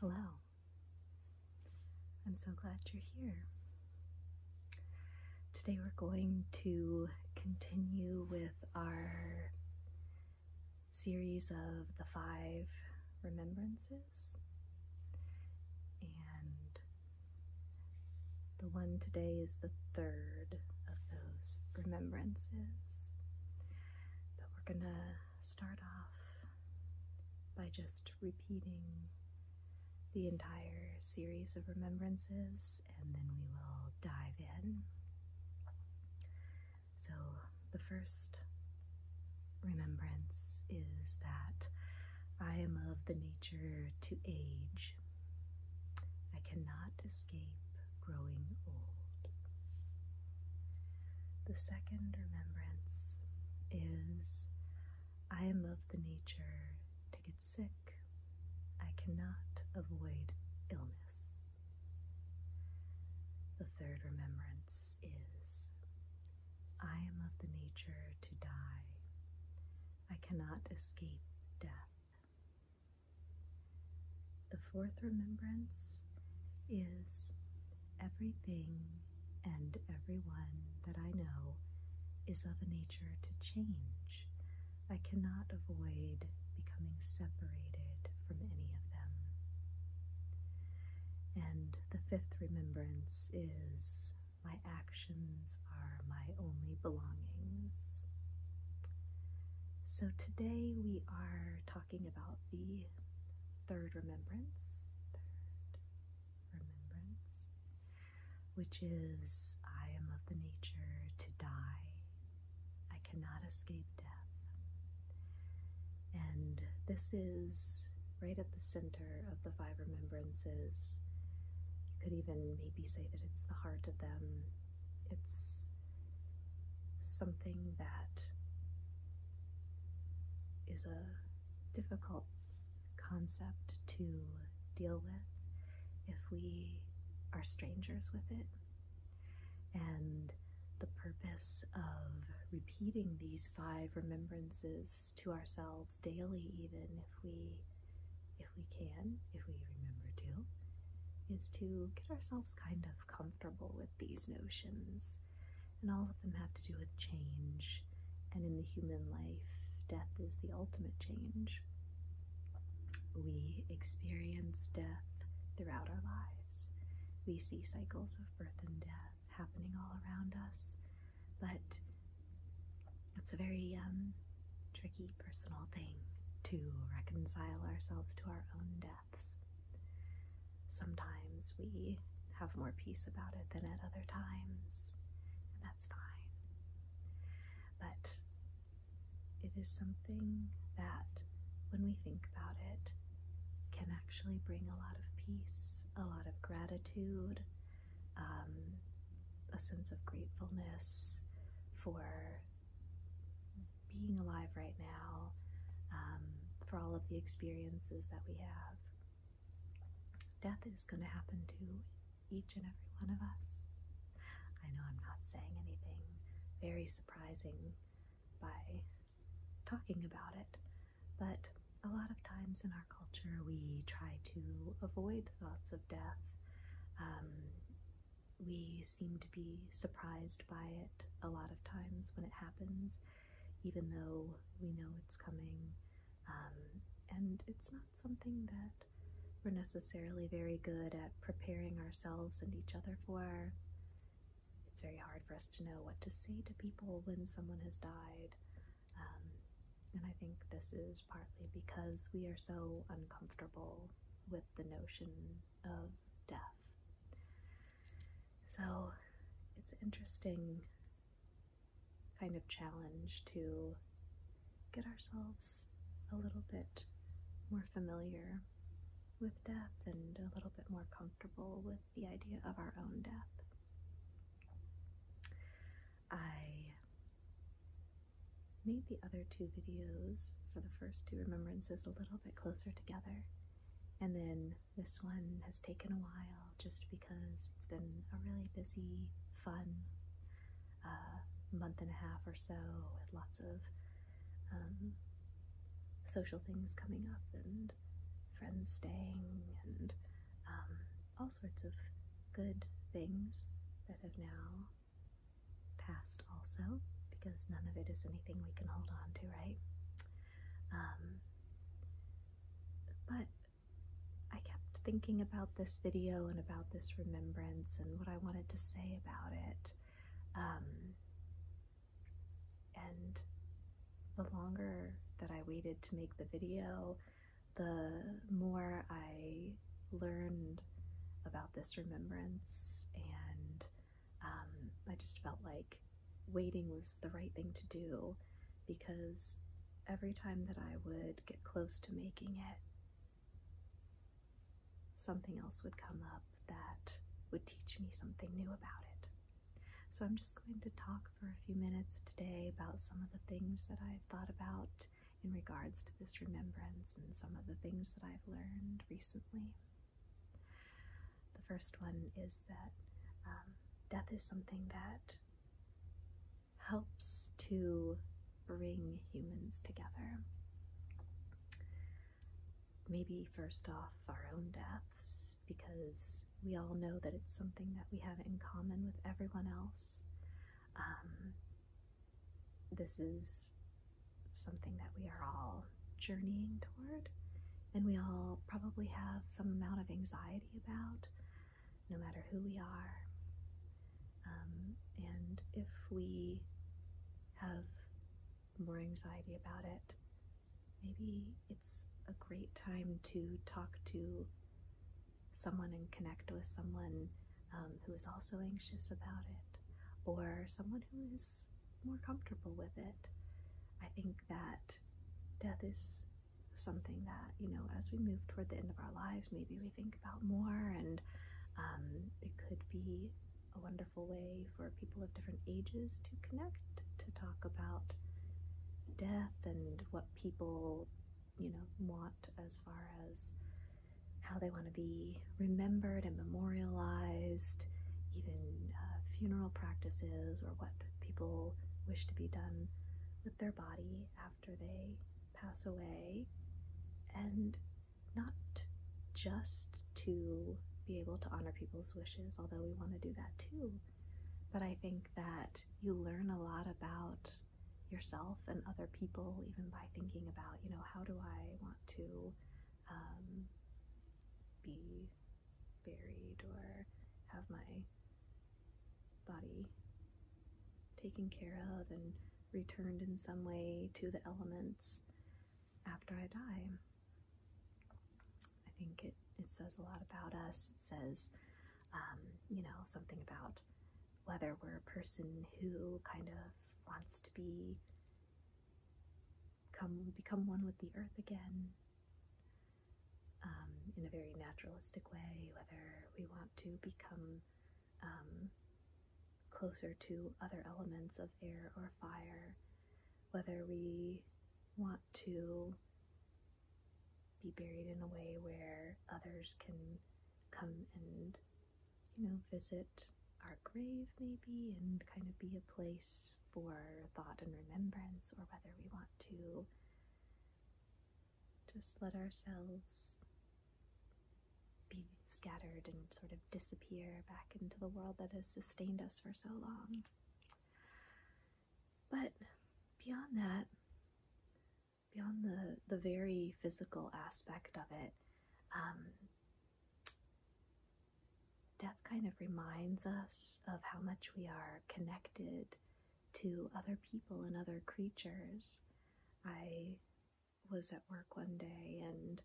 Hello. I'm so glad you're here. Today we're going to continue with our series of the five remembrances. And the one today is the third of those remembrances. But we're going to start off by just repeating the entire series of remembrances and then we will dive in. So, the first remembrance is that I am of the nature to age. I cannot escape growing old. The second remembrance is I am of the nature to get sick. I cannot avoid illness. The third remembrance is I am of the nature to die. I cannot escape death. The fourth remembrance is everything and everyone that I know is of a nature to change. I cannot avoid becoming separated from any of them. And the fifth remembrance is my actions are my only belongings. So today we are talking talking about the third remembrance, third remembrance, which is I am of the nature to die. I cannot escape death. And this is right at the center of the five remembrances. You could even maybe say that it's the heart of them. It's something that is a difficult concept to deal with if we are strangers with it. And the purpose of repeating these five remembrances to ourselves daily, even if we if we can, if we remember to, is to get ourselves kind of comfortable with these notions, and all of them have to do with change. And in the human life, death is the ultimate change. We experience death throughout our lives. We see cycles of birth and death happening all around us, but it's a very um, tricky personal thing to reconcile ourselves to our own death. Sometimes we have more peace about it than at other times, and that's fine. But it is something that, when we think about it, can actually bring a lot of peace, a lot of gratitude, um, a sense of gratefulness for being alive right now, um, for all of the experiences that we have. Death is going to happen to each and every one of us. I know I'm not saying anything very surprising by talking about it, but a lot of times in our culture we try to avoid thoughts of death. Um, we seem to be surprised by it a lot of times when it happens, even though we know it's coming. Um, and it's not something that we're necessarily very good at preparing ourselves and each other for. It's very hard for us to know what to say to people when someone has died. Um, and I think this is partly because we are so uncomfortable with the notion of death. So it's an interesting kind of challenge to get ourselves a little bit more familiar with death and a little bit more comfortable with the idea of our own death. I made the other two videos for the first two remembrances a little bit closer together and then this one has taken a while just because it's been a really busy, fun uh, month and a half or so with lots of um, social things coming up and friends staying and um, all sorts of good things that have now passed also because none of it is anything we can hold on to, right? Um, but I kept thinking about this video and about this remembrance and what I wanted to say about it. Um, and the longer that I waited to make the video, the more I learned about this remembrance and um, I just felt like waiting was the right thing to do because every time that I would get close to making it, something else would come up that would teach me something new about it. So I'm just going to talk for a few minutes today about some of the things that I've thought about in regards to this remembrance and some of the things that I've learned recently. The first one is that um, death is something that helps to bring humans together. Maybe first off, our own deaths, because we all know that it's something that we have in common with everyone else. Um, this is something that we are all journeying toward, and we all probably have some amount of anxiety about, no matter who we are. Um, and if we have more anxiety about it, maybe it's a great time to talk to someone and connect with someone um, who is also anxious about it, or someone who is more comfortable with it. I think that death is something that, you know, as we move toward the end of our lives, maybe we think about more, and um, it could be a wonderful way for people of different ages to connect, to talk about death and what people, you know, want as far as how they want to be remembered and memorialized, even uh, funeral practices or what people wish to be done with their body after they pass away, and not just to be able to honor people's wishes, although we want to do that too. But I think that you learn a lot about yourself and other people, even by thinking about, you know, how do I want to um, be buried or have my body taken care of and returned in some way to the elements after I die. I think it, it says a lot about us. It says, um, you know, something about whether we're a person who kind of wants to be come become one with the earth again um, in a very naturalistic way, whether we want to become um, closer to other elements of air or fire, whether we want to be buried in a way where others can come and you know visit our grave maybe and kind of be a place for thought and remembrance, or whether we want to just let ourselves be scattered and sort of disappear back into the world that has sustained us for so long. But beyond that, beyond the, the very physical aspect of it, um, death kind of reminds us of how much we are connected to other people and other creatures. I was at work one day and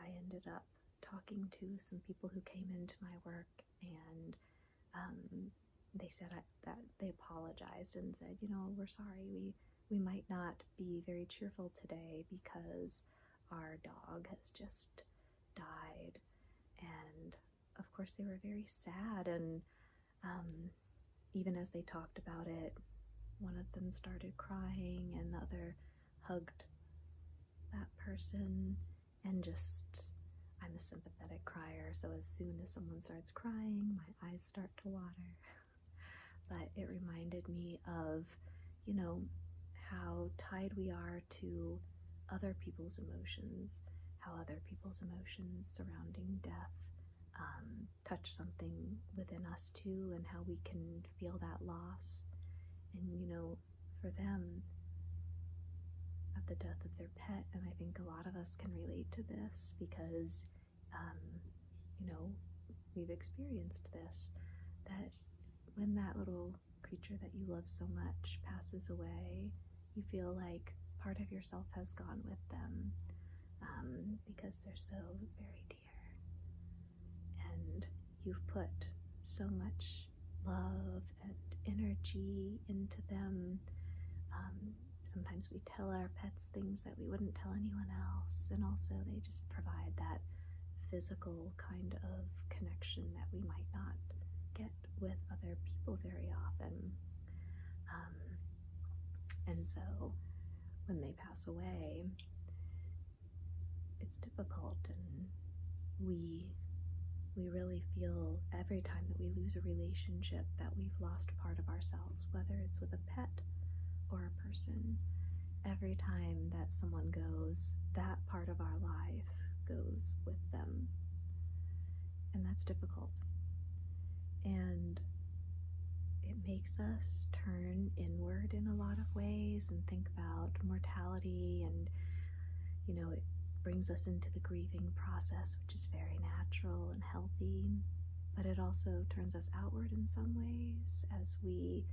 I ended up talking to some people who came into my work and um, they said that they apologized and said, you know, we're sorry, we, we might not be very cheerful today because our dog has just died. And of course, they were very sad. And um, even as they talked about it, one of them started crying, and the other hugged that person. And just, I'm a sympathetic crier, so as soon as someone starts crying, my eyes start to water. but it reminded me of, you know, how tied we are to other people's emotions, how other people's emotions surrounding death um, touch something within us too, and how we can feel that loss. And you know, for them, at the death of their pet, and I think a lot of us can relate to this because, um, you know, we've experienced this that when that little creature that you love so much passes away, you feel like part of yourself has gone with them um, because they're so very dear. And you've put so much love and energy into them. Um, sometimes we tell our pets things that we wouldn't tell anyone else, and also they just provide that physical kind of connection that we might not get with other people very often. Um, and so when they pass away, it's difficult and we we really feel every time that we lose a relationship that we've lost part of ourselves, whether it's with a pet or a person. Every time that someone goes, that part of our lives goes with them. And that's difficult. And it makes us turn inward in a lot of ways and think about mortality and, you know, it brings us into the grieving process, which is very natural and healthy. But it also turns us outward in some ways as we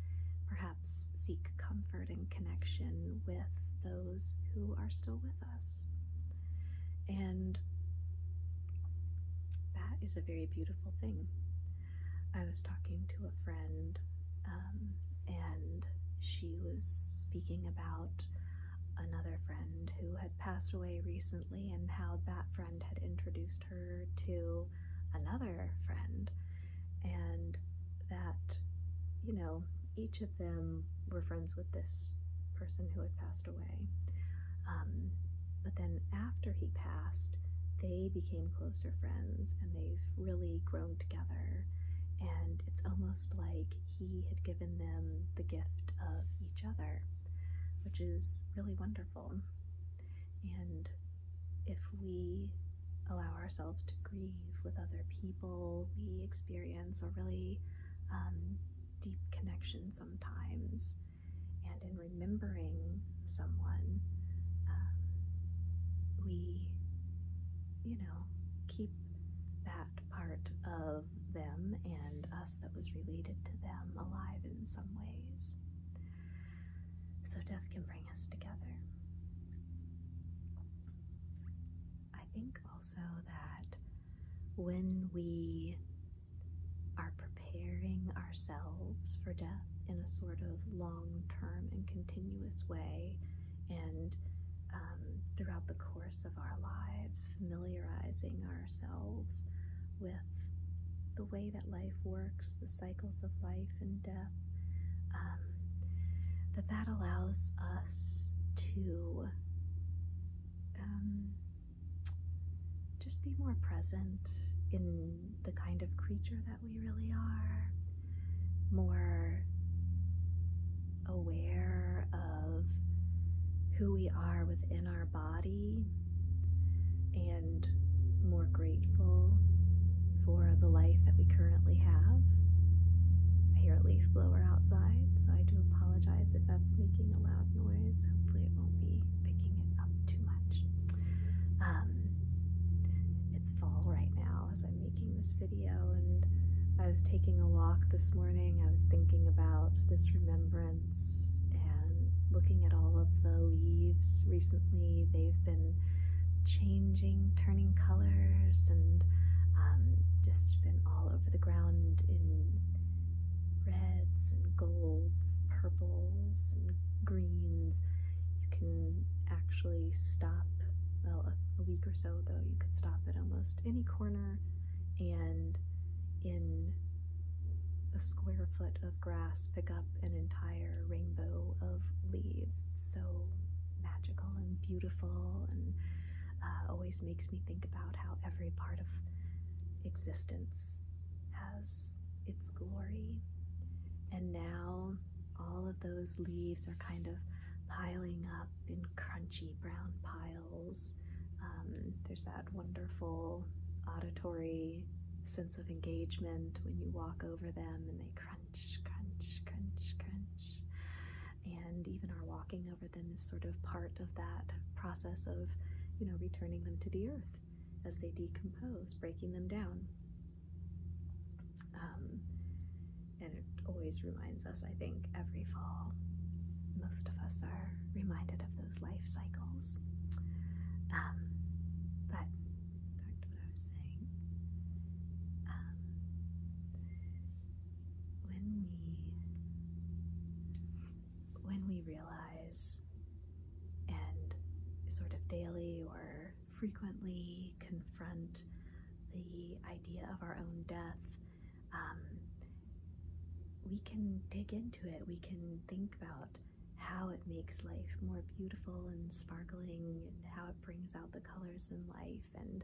perhaps seek comfort and connection with those who are still with us. And that is a very beautiful thing. I was talking to a friend, um, and she was speaking about another friend who had passed away recently and how that friend had introduced her to another friend and that, you know, each of them were friends with this person who had passed away. Um, but then after he passed, they became closer friends and they've really grown together. And it's almost like he had given them the gift of each other, which is really wonderful. And if we allow ourselves to grieve with other people. We experience a really um, deep connection sometimes, and in remembering someone, um, we, you know, keep that part of them and us that was related to them alive in some ways. So, death can bring us together. I think also that when we are preparing ourselves for death in a sort of long term and continuous way, and um, throughout the course of our lives, familiarizing ourselves with the way that life works, the cycles of life, and uh, um, that that allows us to um, just be more present in the kind of creature that we really are, more aware of who we are within our body, and more grateful for the life that we currently have. I hear a leaf blower outside, so I do apologize if that's making a loud noise. Hopefully, it won't be picking it up too much. Um, it's fall right now as I'm making this video, and I was taking a walk this morning. I was thinking about this remembrance and looking at all of the leaves recently. They've been changing, turning colors, and um, just been all over the ground in reds and golds, purples and greens. You can actually stop, well, a week or so though, you could stop at almost any corner and in a square foot of grass pick up an entire rainbow of leaves so magical and beautiful and uh, always makes me think about how every part of existence has its glory. And now all of those leaves are kind of piling up in crunchy brown piles. Um, there's that wonderful auditory sense of engagement when you walk over them and they crunch crunch, crunch, crunch, crunch. And even our walking over them is sort of part of that process of, you know, returning them to the earth as they decompose, breaking them down. Um, and it always reminds us, I think, every fall, most of us are reminded of those life cycles. Um, but back to what I was saying. Um, when we when we realize and sort of daily or frequently confront the idea of our own death, um, we can dig into it. We can think about how it makes life more beautiful and sparkling and how it brings out the colors in life and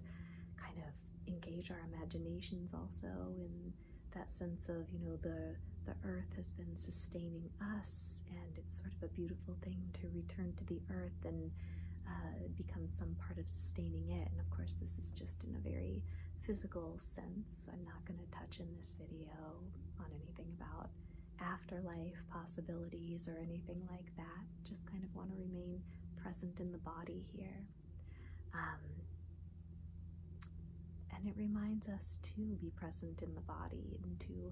kind of engage our imaginations also in that sense of you know the the earth has been sustaining us and it's sort of a beautiful thing to return to the earth and uh, become some part of sustaining it and of course this is just in a very physical sense i'm not going to touch in this video on anything about afterlife possibilities or anything like that. Just kind of want to remain present in the body here. Um, and it reminds us to be present in the body and to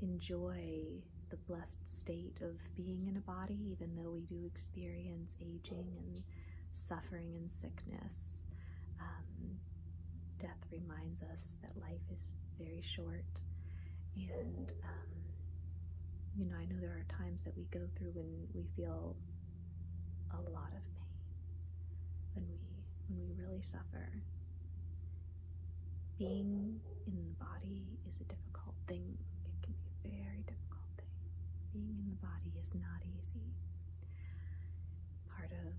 enjoy the blessed state of being in a body, even though we do experience aging and suffering and sickness. Um, death reminds us that life is very short and, um, you know, I know there are times that we go through when we feel a lot of pain, when we, when we really suffer. Being in the body is a difficult thing. It can be a very difficult thing. Being in the body is not easy. Part of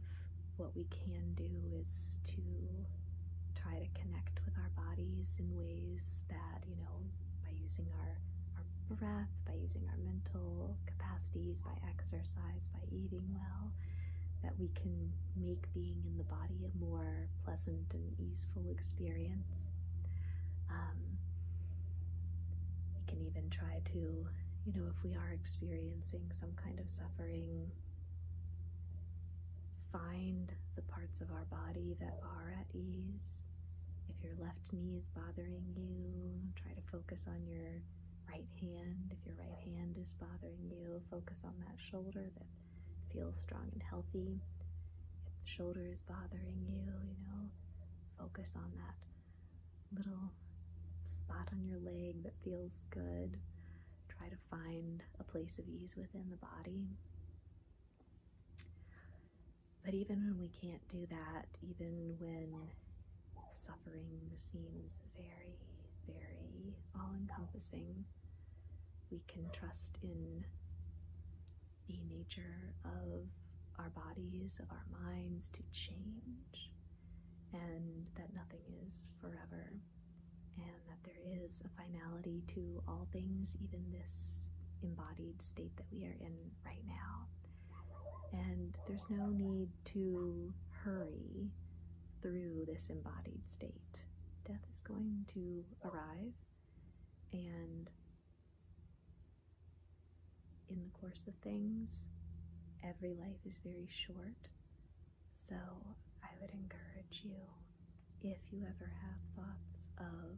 what we can do is to try to connect with our bodies in ways that you know, by using our, our breath, by using our mental capacities, by exercise, by eating well, that we can make being in the body a more pleasant and easeful experience. Um, we can even try to, you know, if we are experiencing some kind of suffering, Find the parts of our body that are at ease. If your left knee is bothering you, try to focus on your right hand. If your right hand is bothering you, focus on that shoulder that feels strong and healthy. If the shoulder is bothering you, you know, focus on that little spot on your leg that feels good. Try to find a place of ease within the body. But even when we can't do that, even when suffering seems very, very all encompassing, we can trust in the nature of our bodies, of our minds to change, and that nothing is forever, and that there is a finality to all things, even this embodied state that we are in right now. And there's no need to hurry through this embodied state. Death is going to arrive, and in the course of things, every life is very short. So I would encourage you if you ever have thoughts of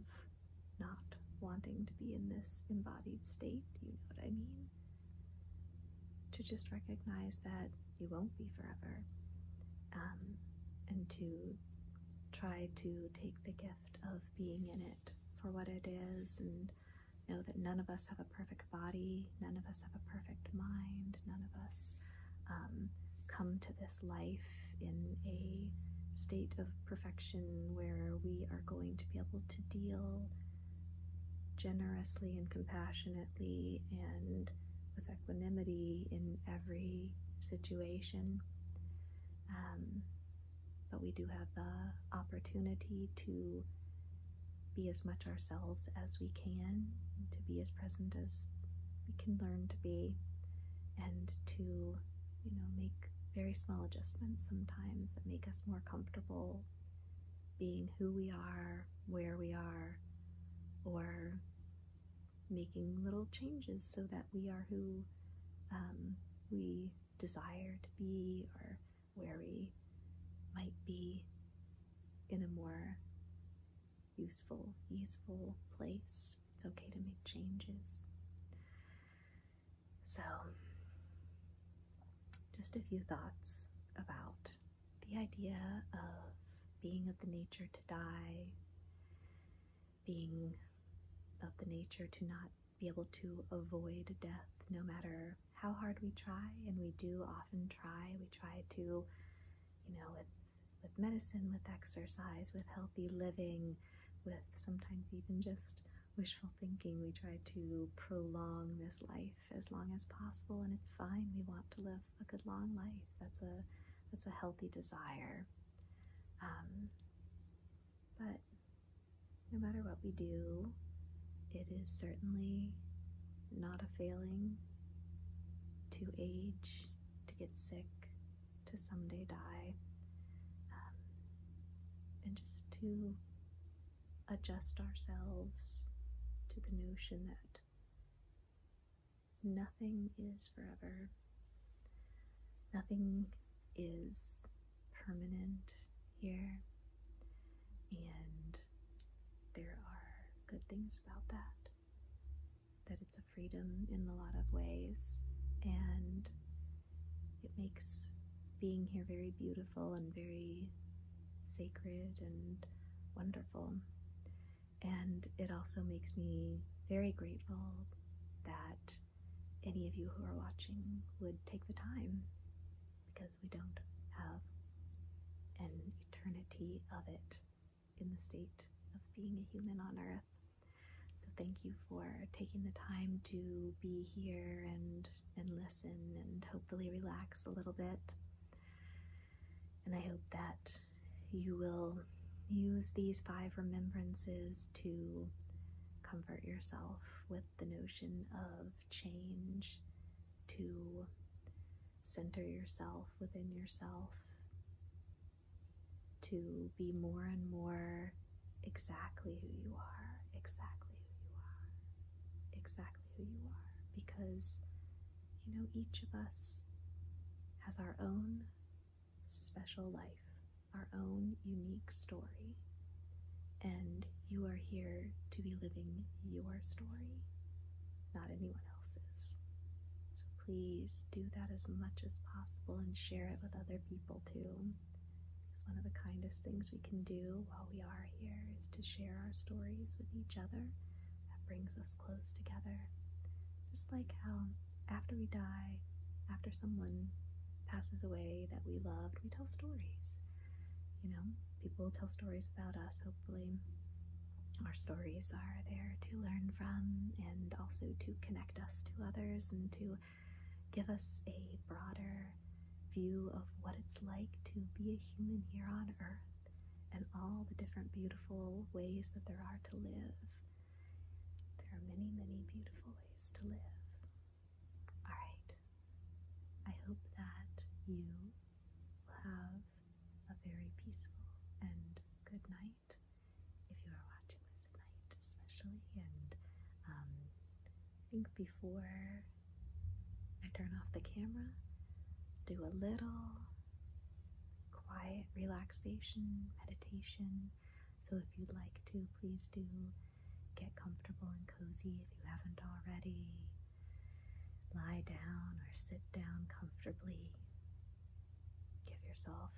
not wanting to be in this embodied state, you know what I mean? To just recognize that you won't be forever, um, and to try to take the gift of being in it for what it is and know that none of us have a perfect body, none of us have a perfect mind, none of us um, come to this life in a state of perfection where we are going to be able to deal generously and compassionately and with equanimity in every situation. Um, but we do have the opportunity to be as much ourselves as we can, to be as present as we can learn to be, and to you know, make very small adjustments sometimes that make us more comfortable being who we are, where we are, or making little changes so that we are who um, we desire to be or where we might be in a more useful, useful place. It's okay to make changes. So, just a few thoughts about the idea of being of the nature to die, being of the nature to not be able to avoid death no matter how hard we try, and we do often try. We try to, you know, with medicine, with exercise, with healthy living, with sometimes even just wishful thinking. We try to prolong this life as long as possible, and it's fine. We want to live a good long life. That's a that's a healthy desire. Um, but no matter what we do, it is certainly not a failing to age, to get sick, to someday die, um, and just to adjust ourselves to the notion that nothing is forever, nothing is permanent here, and there are good things about that. That it's a freedom in a lot of ways, and it makes being here very beautiful and very sacred and wonderful. And it also makes me very grateful that any of you who are watching would take the time because we don't have an eternity of it in the state of being a human on earth. So thank you for taking the time to be here and and listen and hopefully relax a little bit. And I hope that you will use these five remembrances to comfort yourself with the notion of change, to center yourself within yourself, to be more and more exactly who you are, exactly who you are, exactly who you are. Because, you know, each of us has our own special life, our own unique story. And you are here to be living your story, not anyone else's please do that as much as possible and share it with other people too. Because one of the kindest things we can do while we are here is to share our stories with each other. That brings us close together. Just like how after we die, after someone passes away that we loved, we tell stories. You know, people tell stories about us, hopefully. Our stories are there to learn from and also to connect us to others and to give us a broader view of what it's like to be a human here on earth and all the different beautiful ways that there are to live. There are many, many beautiful ways to live. Alright, I hope that you will have a very peaceful and good night if you are watching this at night, especially, and um, I think before I turn off the camera, do a little quiet relaxation meditation. So, if you'd like to, please do get comfortable and cozy if you haven't already. Lie down or sit down comfortably. Give yourself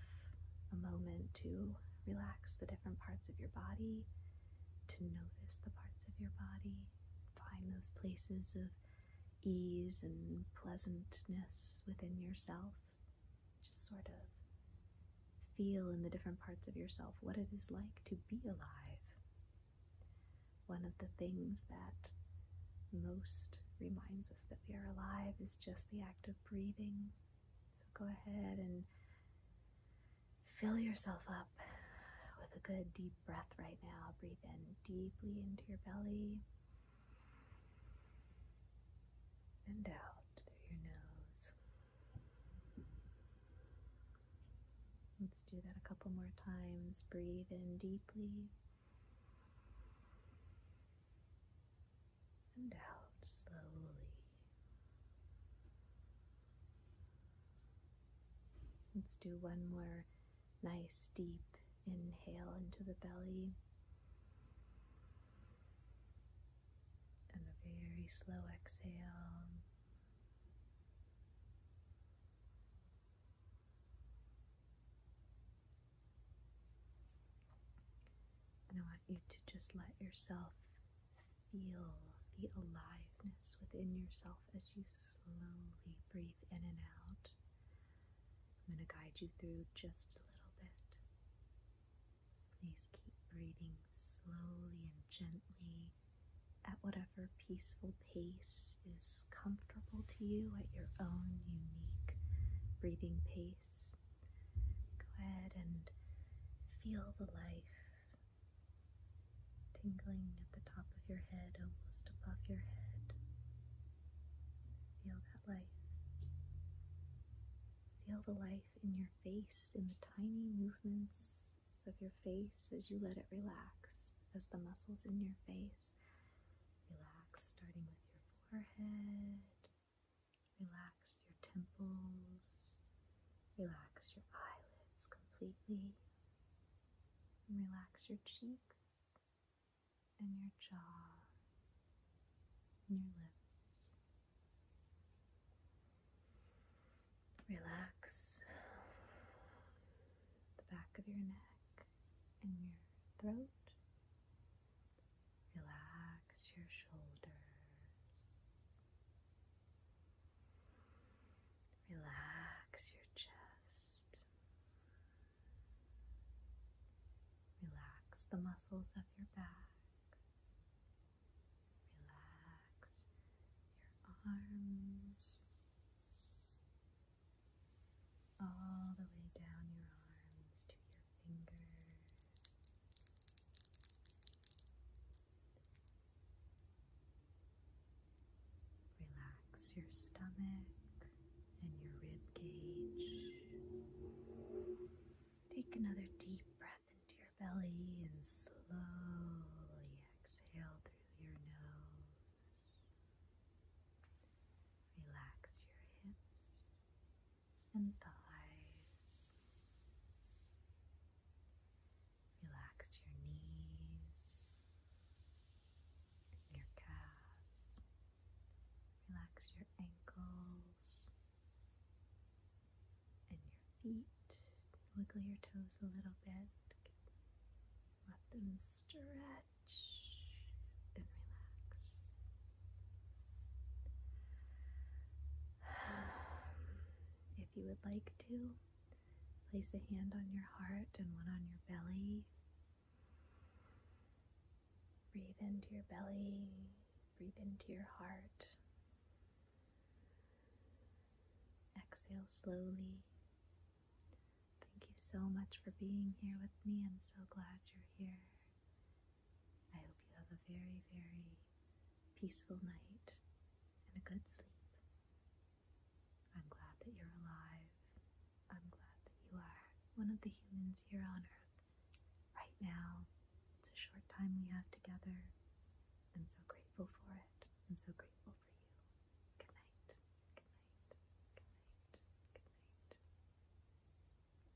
a moment to relax the different parts of your body, to notice the parts of your body, find those places of ease and pleasantness within yourself. Just sort of feel in the different parts of yourself what it is like to be alive. One of the things that most reminds us that we are alive is just the act of breathing, so go ahead and fill yourself up with a good deep breath right now. Breathe in deeply into your belly and out through your nose. Let's do that a couple more times. Breathe in deeply and out slowly. Let's do one more nice deep inhale into the belly and a very slow exhale. I want you to just let yourself feel the aliveness within yourself as you slowly breathe in and out. I'm going to guide you through just a little bit. Please keep breathing slowly and gently at whatever peaceful pace is comfortable to you at your own unique breathing pace. Go ahead and feel the life tingling at the top of your head, almost above your head. Feel that life. Feel the life in your face, in the tiny movements of your face as you let it relax, as the muscles in your face relax, starting with your forehead, Relax your temples, relax your eyelids completely, relax your cheeks and your jaw and your lips. Relax the back of your neck and your throat Relax your shoulders. Relax your chest. Relax the muscles of your back. Relax your arms. All the way down your arms to your Relax your stomach and your rib cage. Take another deep breath into your belly and slowly exhale through your nose. Relax your hips and thighs. Relax your knees, your calves. Relax your ankles and your feet. Wiggle your toes a little bit. Let them stretch and relax. If you would like to, place a hand on your heart and one on your belly. Breathe into your belly, breathe into your heart. Exhale slowly. Thank you so much for being here with me. I'm so glad you're here. I hope you have a very, very peaceful night and a good sleep. I'm glad that you're alive. I'm glad that you are one of the humans here on Earth right now. It's a short time we have together. I'm so grateful for it. I'm so grateful for you. Good night. Good night. Good night. Good night.